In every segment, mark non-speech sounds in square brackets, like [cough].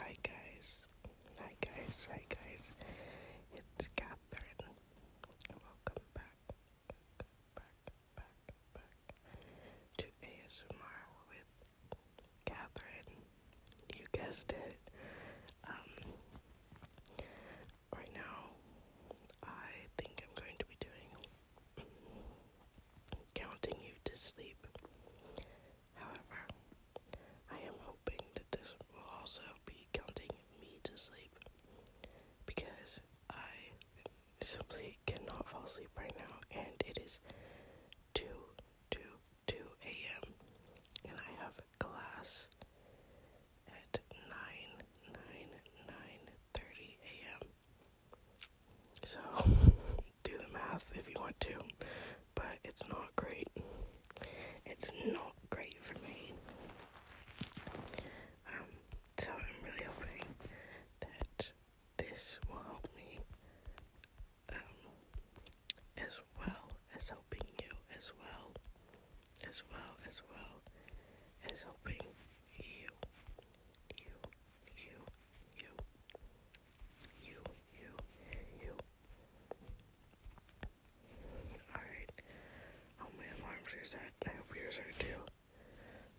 Hi guys, hi guys, hi guys, it's Catherine. Welcome back, to ASMR with Catherine. You guessed it. Um, right now, I think I'm going to be doing counting you to sleep. However, I am hoping that this will also be counting me to sleep because I simply [laughs] cannot fall asleep right now and it is 2 2 2 a.m. and I have class at 9 9 9 30 a.m. So, [laughs] do the math if you want to, but it's not great. It's not great for me. Um, so I'm really hoping that this will help me, um, as well as helping you, as well, as well, as well as helping you, you, you, you. You, you, you. Alright. Oh, my alarm's reset. I hope yours are too.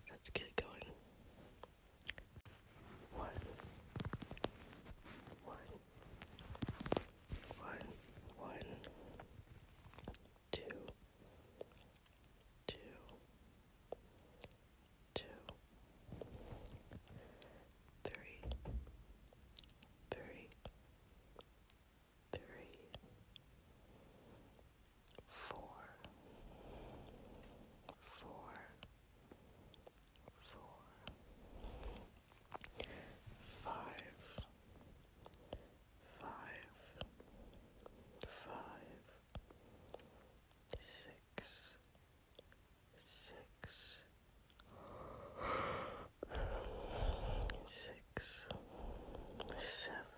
Let's get going. One two, three, three, three, four, four, four, five, five, five, six, six, seven, seven,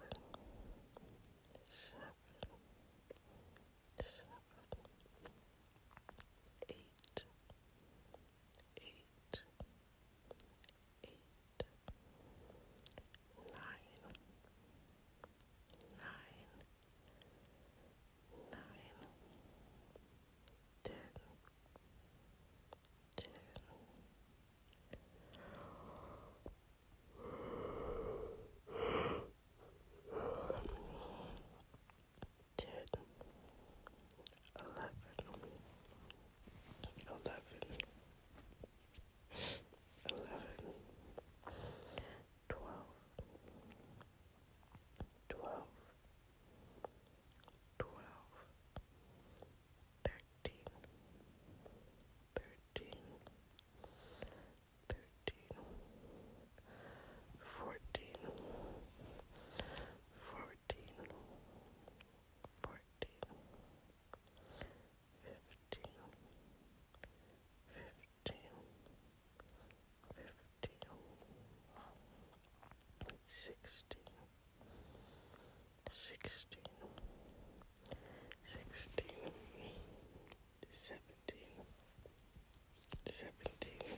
seven, eight, eight, eight, nine, nine, nine, ten, ten. Ten, eleven, eleven, eleven, twelve, twelve, twelve, thirteen, thirteen, thirteen, fourteen, fourteen, fourteen, fifteen, fifteen fourteen, fifteen, sixteen, sixteen, sixteen, seventeen, seventeen,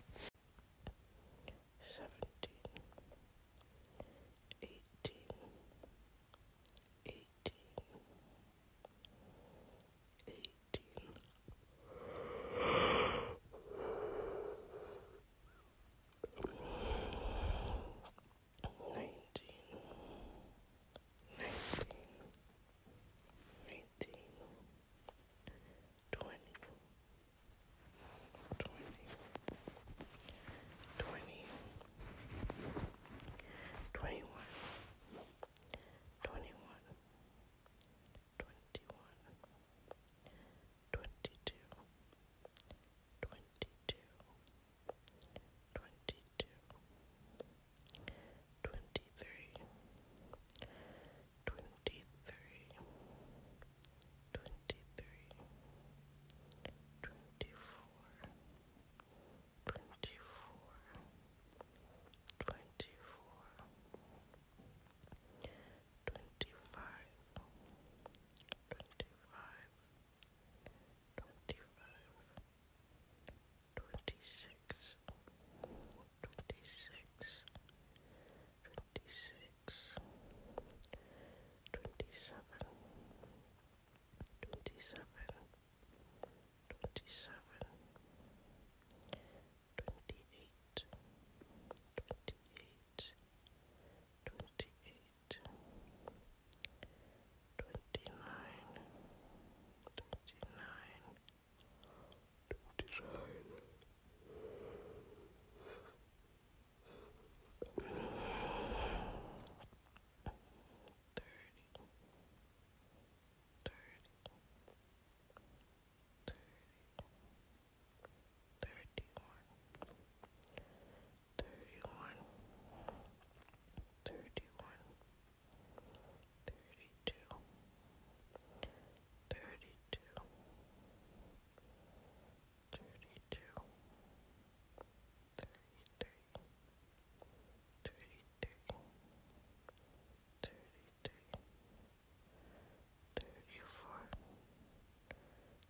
seventeen, eighteen, eighteen. 18 eighteen. Nineteen, nineteen, nineteen, twenty, twenty, twenty, twenty-one, twenty-one, twenty one, twenty two, twenty two, twenty two, twenty three, twenty three, twenty three, twenty four, twenty four. 24 twenty-four, twenty-five, twenty-five, twenty-five, twenty-six, twenty-six, twenty-six, twenty-seven, twenty-seven, twenty-seven, 27 twenty-eight, twenty-eight, twenty-eight, twenty-nine, twenty-nine, twenty-nine. Thirty, thirty, thirty, thirty-one, thirty-two, thirty-three, thirty-four, thirty-five, thirty-six, thirty-seven, thirty-eight, thirty-nine, thirty-one, thirty-one, thirty-one, thirty-two, thirty-two, thirty-two, thirty-three, thirty-three. 33 thirty-three, thirty-four,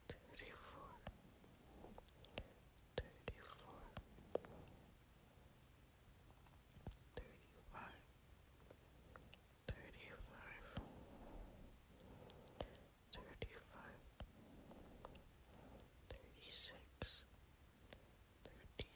thirty-four, thirty-four, thirty-five, thirty-five, thirty-five, thirty-six, thirty-six. 36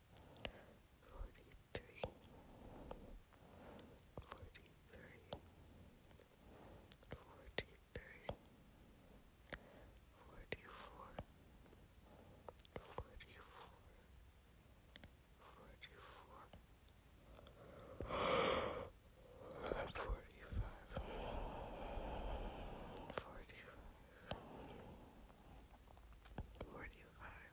forty-three, forty-three, forty-three, forty-four, forty-four, forty-four. Forty-five, forty-five, forty-five,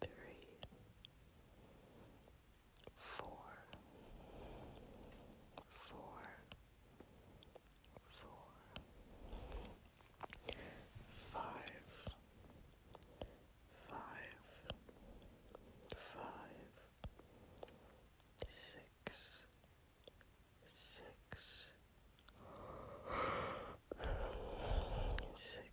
three, four, four, four, five, five, five, six, six, six.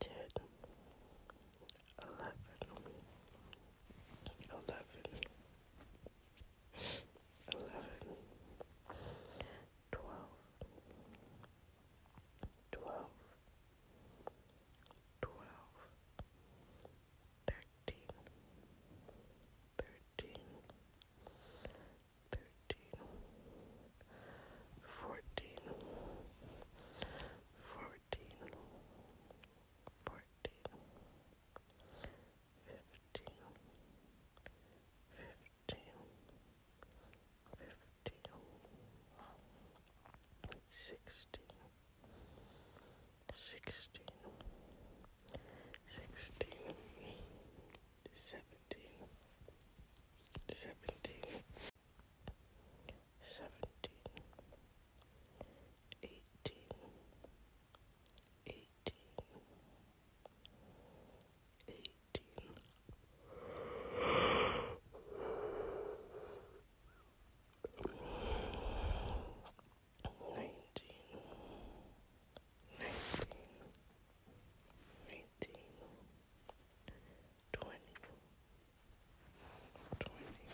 Ten, eleven, eleven, eleven, twelve, twelve, twelve, thirteen, thirteen, thirteen, fourteen, fourteen, fourteen, fifteen, fifteen, fifteen, sixteen sixteen, sixteen, seventeen, seventeen, seventeen, eighteen, eighteen, eighteen nineteen, nineteen, eighteen, twenty, twenty, twenty,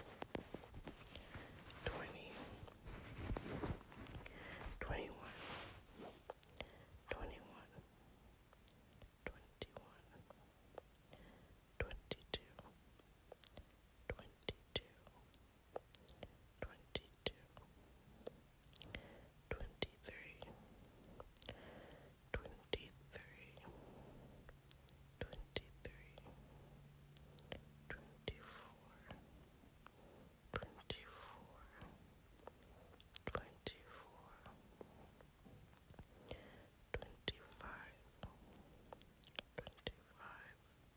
twenty-one, twenty-one, twenty-one, twenty-two. 22 twenty-two, twenty-two, twenty-three, twenty-three, twenty-three, twenty-four, twenty-four, twenty-four, twenty-five, twenty-five. 25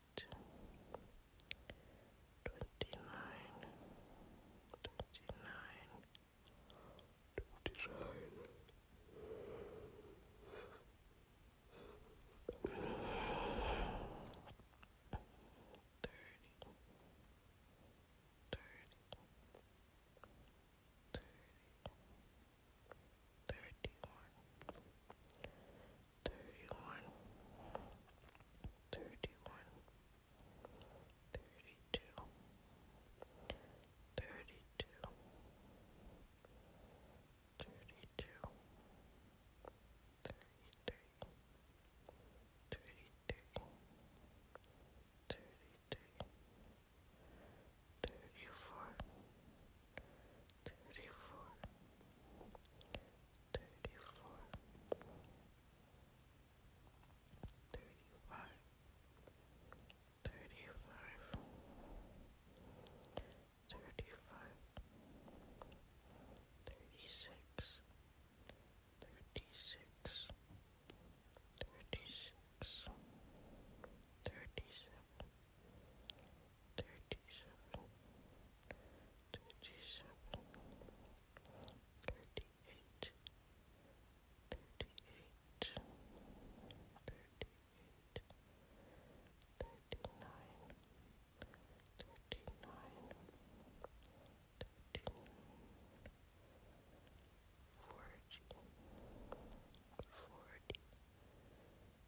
twenty-nine, twenty-nine, twenty-nine, thirty, thirty, thirty, thirty-one. 31 thirty-one, thirty-one, thirty-two, thirty-two, thirty-two, thirty-three, thirty-three, thirty-three, thirty-four, thirty-four. 34 thirty-four, thirty-five, thirty-five, thirty-five, thirty-six, thirty-six, thirty-six, thirty-seven. 36 thirty-seven, thirty-seven, thirty-eight, thirty-eight, thirty-eight, thirty-nine, thirty-nine, thirty-nine. Forty, forty,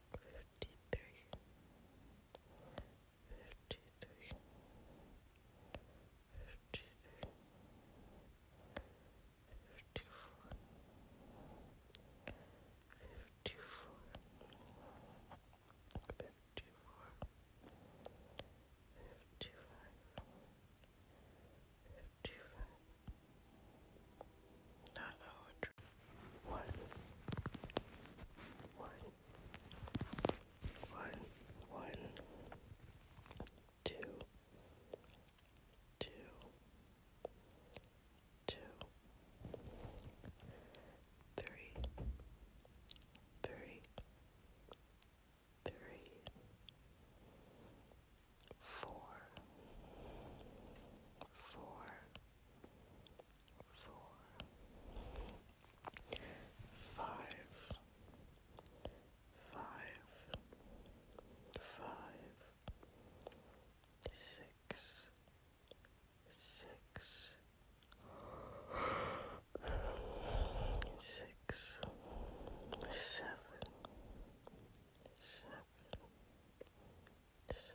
fifty-three, fifty-three, fifty-three, fifty-four, fifty-four, fifty-four, fifty-five, fifty-five. Not know what one, one, one, one, two, two, two, three, three, three, four, four four, five, five, five, six, six, six, seven, seven, seven. Seven,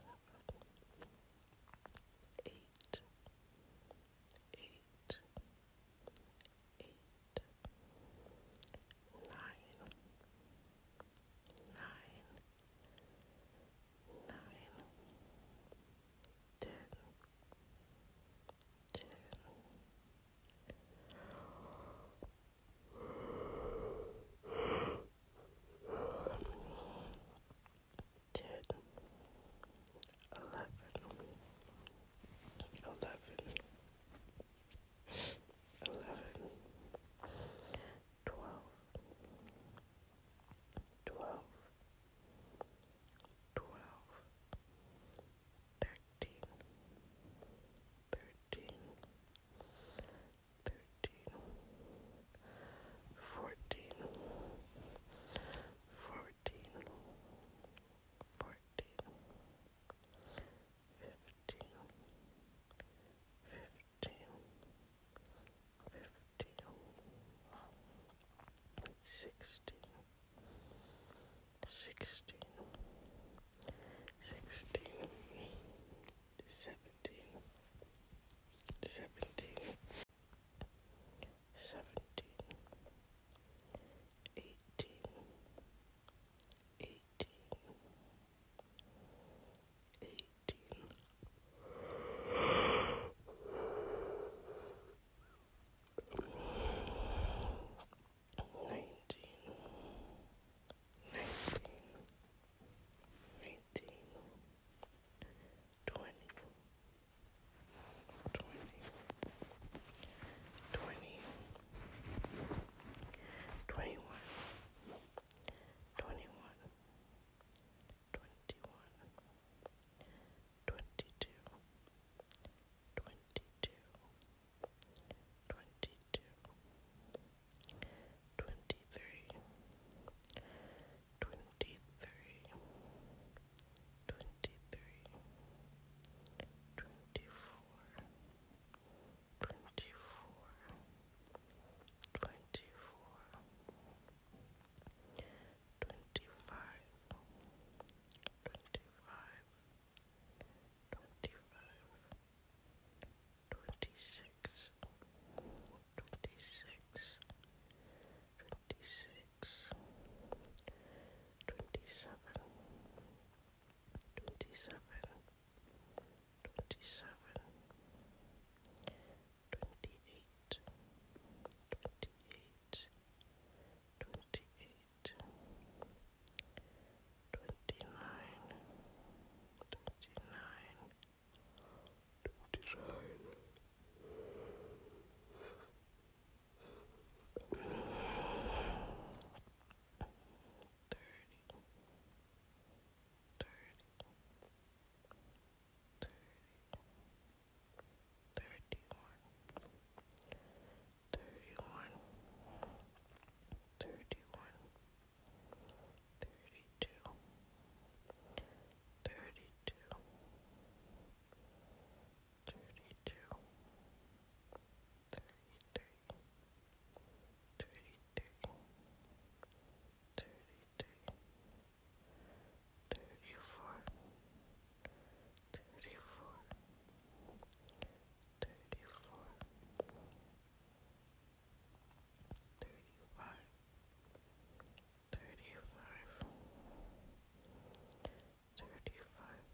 eight, eight, eight, nine, nine, nine, ten, ten ten, eleven, eleven, eleven, twelve, twelve, twelve, thirteen, thirteen thirteen, fourteen, fourteen, fourteen, fifteen, fifteen, fifteen, sixteen, sixteen, sixteen, seventeen. Seventeen, seventeen, eighteen, eighteen, eighteen. Nineteen, nineteen, nineteen, twenty, twenty, twenty, twenty-one, twenty-one, twenty-one, twenty-two, twenty-two, twenty-two, twenty-three twenty three, twenty three, twenty four, twenty four, twenty four, twenty five, twenty five, twenty five, twenty six. 26 twenty-six, twenty-six, twenty-seven, twenty-seven, twenty-seven, twenty-eight, twenty-eight, twenty-eight, twenty-nine, twenty-nine. 29 to design. Thirty. Thirty. Thirty. Thirty-one. Thirty-one. Thirty-one thirty-two, thirty-two, thirty-two, thirty-three, thirty-three, thirty-three, thirty-four, thirty-four, thirty-four. Thirty-five, thirty-six, thirty-five, thirty-five,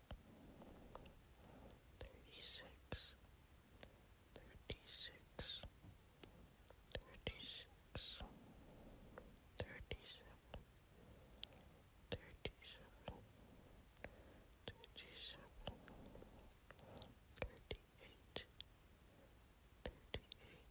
thirty-six, thirty-six, thirty-six, thirty-seven, thirty-seven, thirty-seven, thirty-eight, thirty-eight. 41 41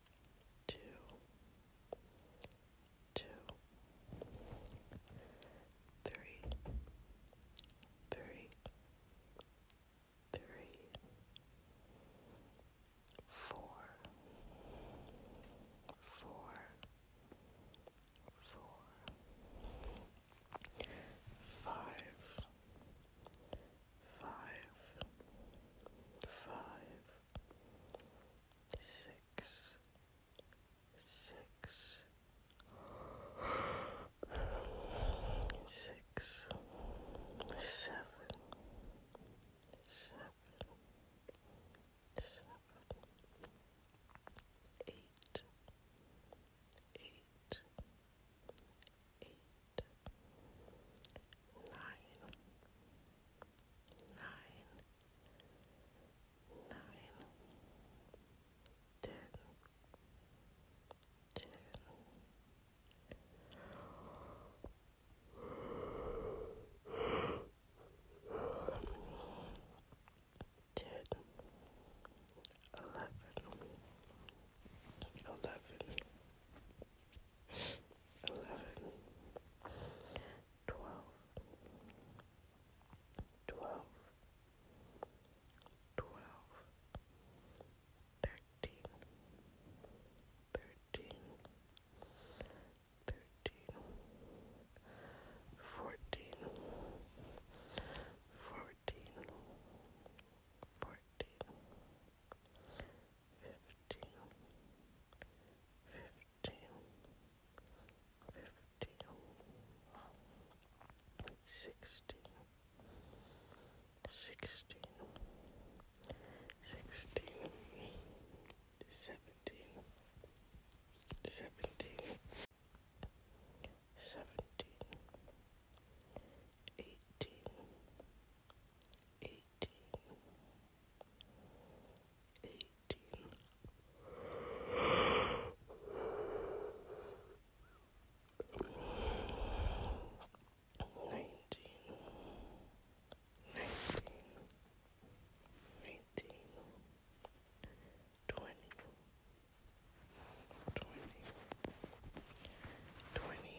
two, two, three, three, three, four, four, four, five, five, five, six, six, six, seven, seven, seven, eight, eight, eight nine, nine, nine, ten, ten. Ten, eleven, eleven, eleven, twelve, twelve, twelve, thirteen, thirteen, thirteen, fourteen, fourteen, fourteen fifteen, fifteen, fifteen, sixteen, sixteen, sixteen, seventeen, seventeen, seventeen. 16 15 14 eighteen, eighteen, eighteen. Nineteen, nineteen, nineteen, twenty, twenty, twenty,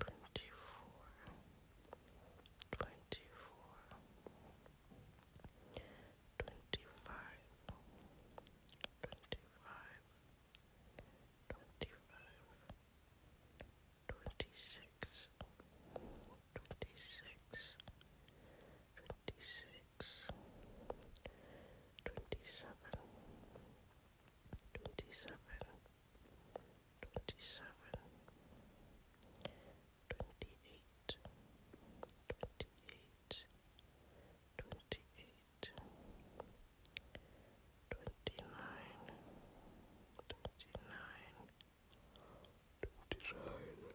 twenty-four, twenty-four, twenty-five, twenty-five, twenty-five, twenty-six, twenty-six, twenty-six, twenty-seven, 27 twenty-seven, twenty-seven, twenty-eight, twenty-eight, twenty-eight, twenty-nine, twenty-nine, twenty-nine. 29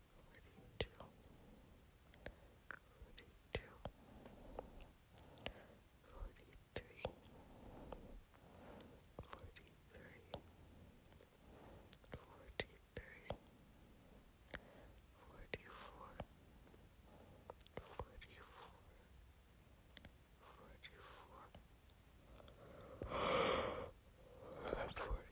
forty-two, forty-two, forty-three, forty-three, forty-three, forty-four, [gasps] forty-four, forty-four, forty-four.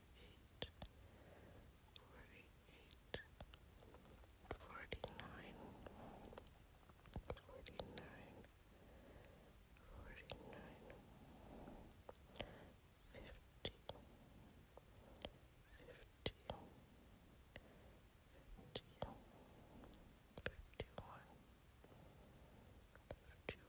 eight, forty eight, forty nine, forty nine, forty nine, fifty, fifty, fifty, fifty one. 51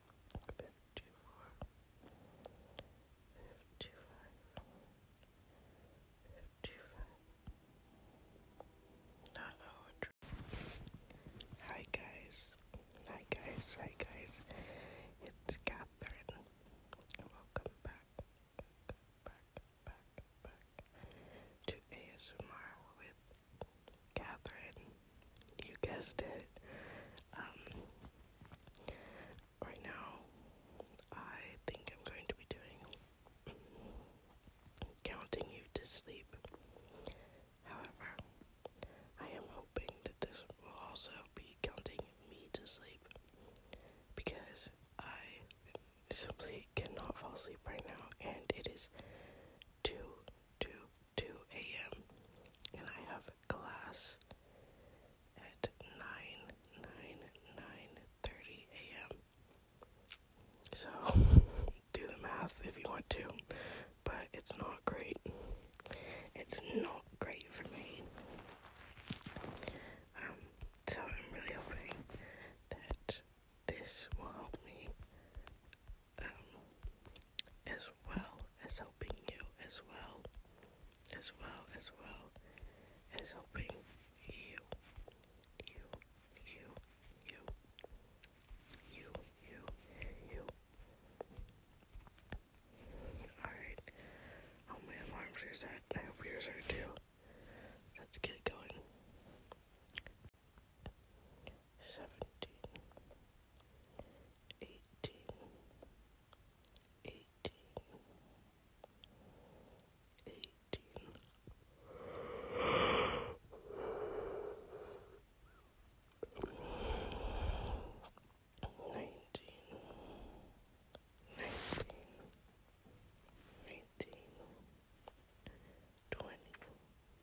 fifty four, fifty five, fifty five. Not Hi guys, hi guys, hi guys. It's Catherine. Welcome back, back, back, back to ASMR with Catherine. You guessed it. Um, right now, I think I'm going to be doing counting you to sleep. However, I am hoping that this will also be counting me to sleep because I simply [laughs] cannot fall asleep right now and it is 2 2 2 a.m. and I have class at 9 9 9 30 a.m. So [laughs] do the math if you want to, but it's not great. It's not great for me. Um, so I'm really hoping that this will help me um, as well as helping you, as well, as well, as well as helping you, you, you, you, you, you, you. Alright, all oh, my alarms are set. I hope yours are too. Let's get going seventeen, eighteen, eighteen, eighteen. Nineteen, nineteen, nineteen, twenty,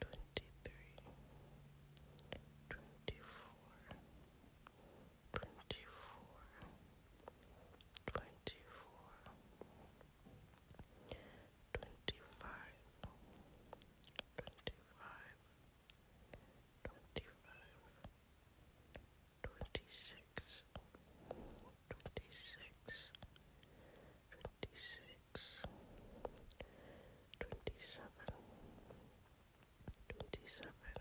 twenty-three, twenty-four, twenty-four, twenty-four, twenty-five, twenty-five, twenty-five. Twenty-six, twenty-six, twenty-six, twenty-seven, twenty-seven,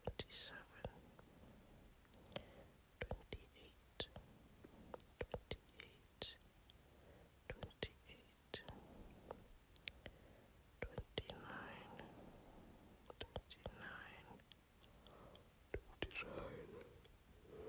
twenty-seven, twenty-eight, twenty-eight, twenty-eight, twenty-nine, twenty-nine, twenty-nine. 29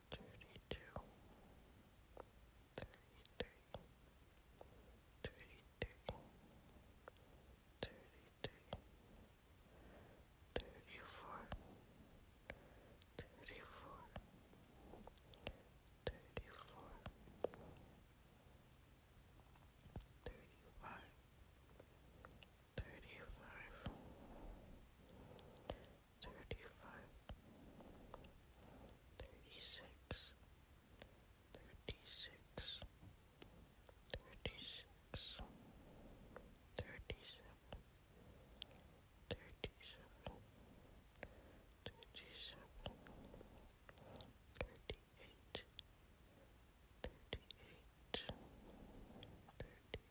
thirty-two, thirty-three, thirty-three, thirty-three, thirty-four, thirty-four, thirty-four, thirty-five, thirty-five, thirty-five, thirty-six, thirty-six, thirty-six, thirty-seven, thirty-seven, thirty-seven, thirty-eight, thirty-eight, thirty.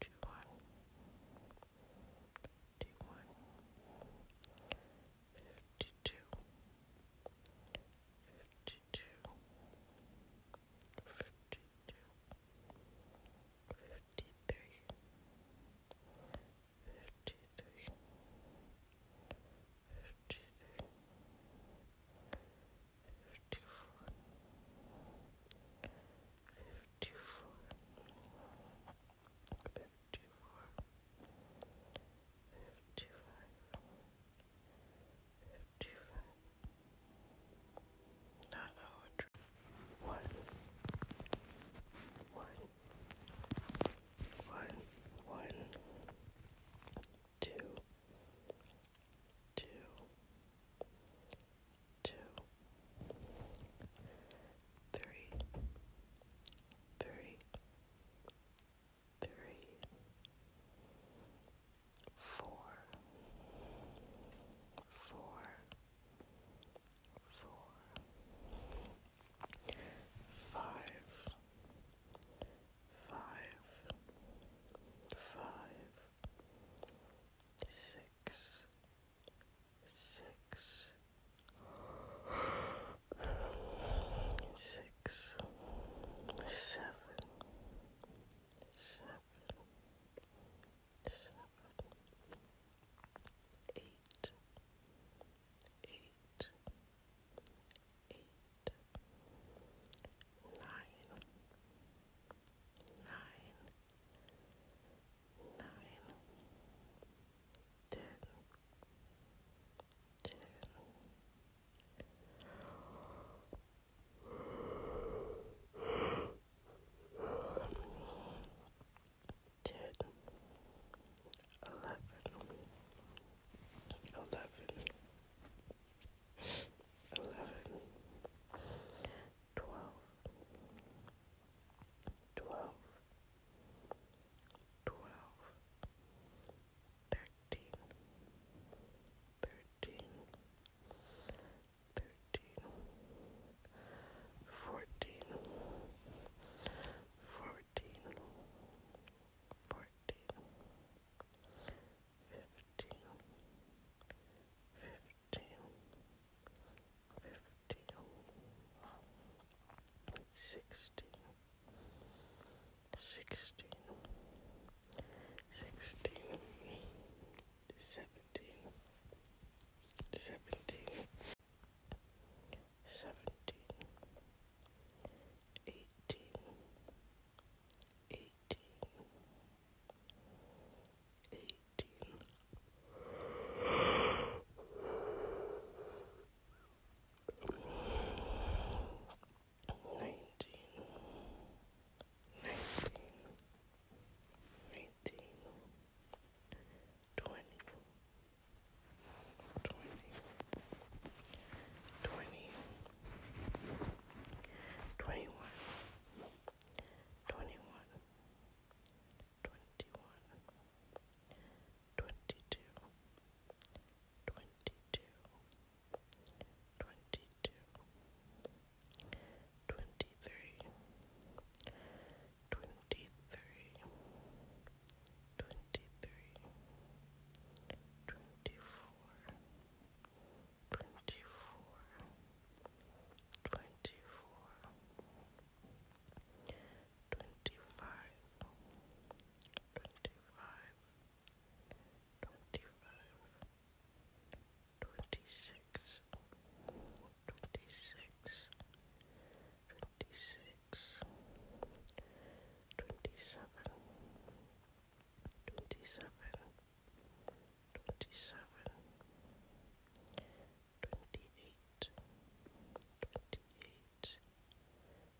two one, two one, fifty two, fifty two, fifty two, fifty three, fifty three, fifty three. 54 54 54 two, three, three, three, four, four, four, five, five, five, six, six, six, seven, seven, seven, eight, eight, eight, nine, nine nine, ten, ten. Ten, eleven, eleven, eleven, twelve, twelve, twelve, thirteen, thirteen, thirteen, fourteen, fourteen, fourteen, fifteen, fifteen fourteen, fifteen, sixteen, sixteen, sixteen, seventeen, seventeen, seventeen, eighteen, eighteen, eighteen fifteen. Nineteen, nineteen, eighteen, twenty, twenty, twenty, twenty-one, twenty-one, twenty one, twenty two, twenty two, twenty two, twenty three, twenty three, twenty three, twenty four. 24 twenty-four, twenty-four, twenty-five, twenty-five, twenty-five, twenty-six, twenty-six, twenty-six, twenty-seven, twenty-seven. 27 twenty-seven, twenty-eight, twenty-eight,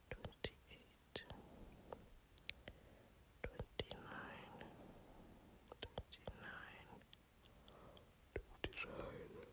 twenty-eight, twenty-nine, twenty-nine, twenty-nine. Thirty, thirty-one,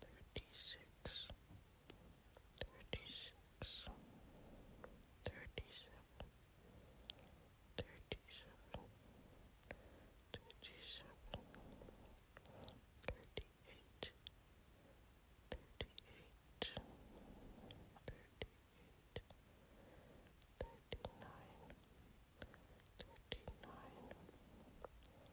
thirty-six, thirty-six, thirty-seven, thirty-seven, thirty-seven, thirty-eight, thirty-eight, thirty-eight, thirty-nine, thirty-nine,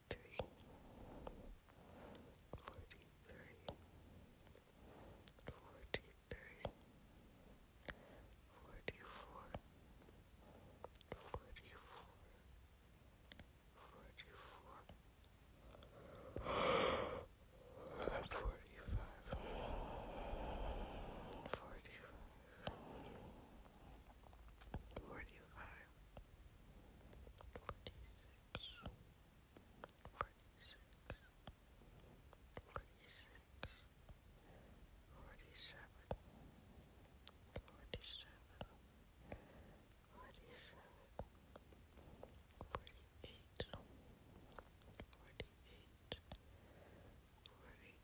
three, forty three, forty three, forty four, forty four, forty four. Forty-five, forty-five, forty-five, forty-five, forty-six, forty-six, forty-six, forty-seven, forty-seven, forty-seven, forty-eight, forty-eight, forty-nine.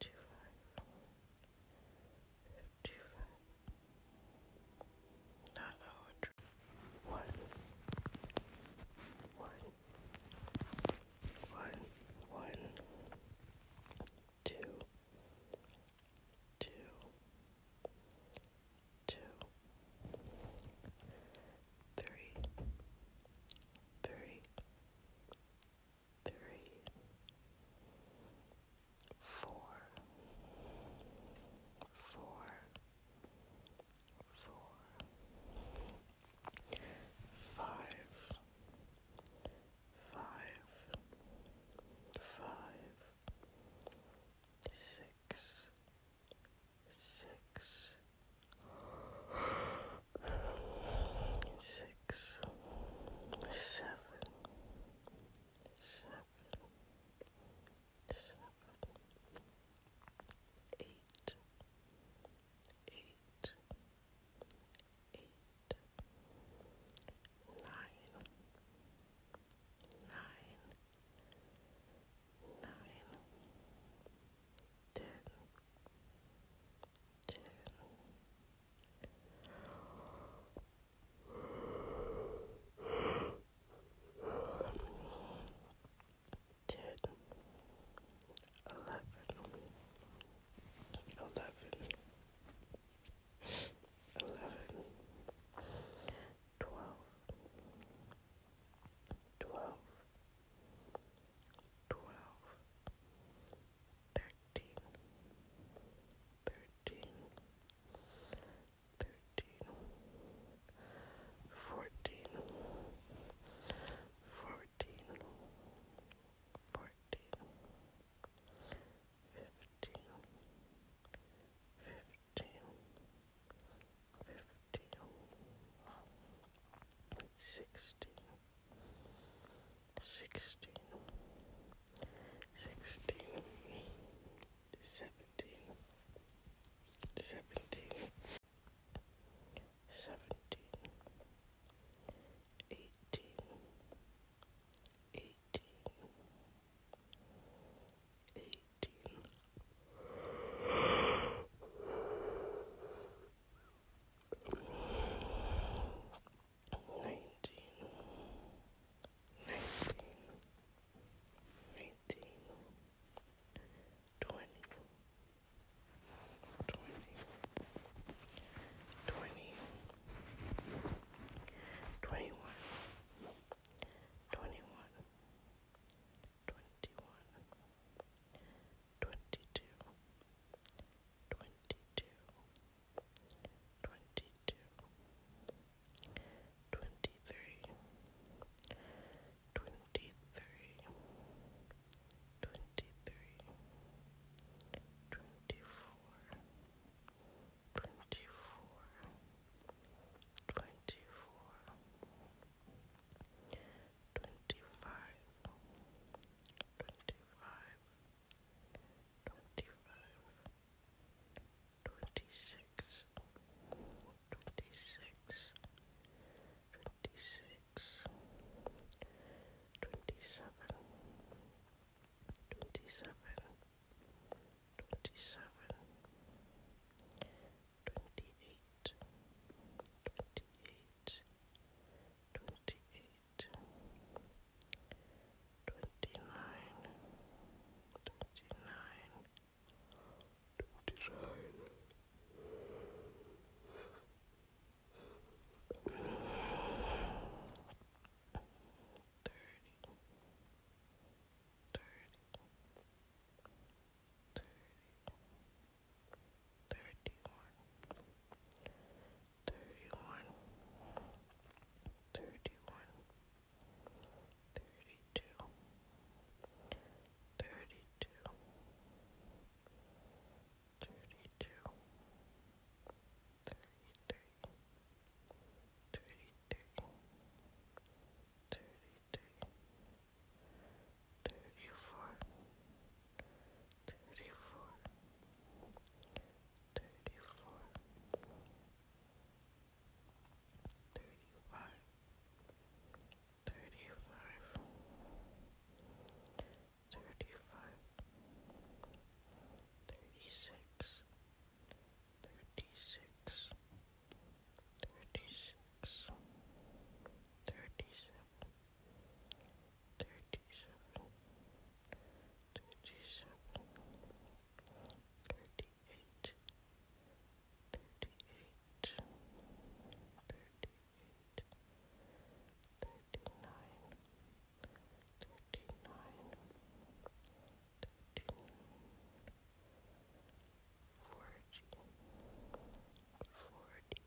55, not one, one, one, one, two, two, two, three, three, three, four, four, four, five, five, five, six, six six, seven, seven, seven, eight, eight, eight, nine, nine, nine, ten, ten, ten, Ten, eleven, eleven, eleven, twelve, twelve, twelve, thirteen thirteen, thirteen, thirteen, fourteen, fourteen, fourteen, fifteen, fifteen, fifteen, sixteen sixteen, sixteen, seventeen, seventeen, seventeen, eighteen, eighteen, eighteen. 19 19 19 19 19 19 nineteen, nineteen, nineteen, twenty, twenty, twenty, twenty-one, twenty-one, twenty-one. 21 twenty-two, twenty-two, twenty-two, twenty-three, twenty-three, twenty-three, twenty-four, twenty-four, twenty-four, twenty-five, twenty-five, twenty-five, twenty-six, twenty-six, twenty-six, twenty-seven, twenty-seven, twenty-seven, twenty-eight, twenty-eight, twenty-eight twenty-nine, twenty-nine, twenty-nine, thirty, thirty, thirty. 31 thirty-one, thirty-one, thirty-one, thirty-two, thirty-two, thirty-two, thirty-three, thirty-three, thirty-three, thirty-four. 34 thirty-four, thirty-four, thirty-five, thirty-five, thirty-five, thirty-six, thirty-six, thirty-six, thirty-seven. 37 thirty-seven, thirty-seven, thirty-eight, thirty-eight, thirty-eight, thirty-nine, thirty-nine, thirty-nine. Forty, forty,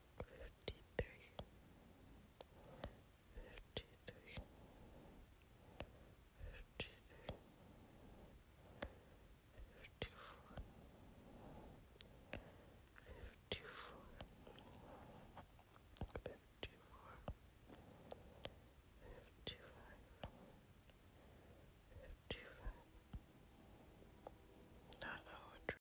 fifty-three, fifty-three, fifty-three, fifty-four, fifty-four, fifty-four, fifty-five, fifty-five. Not know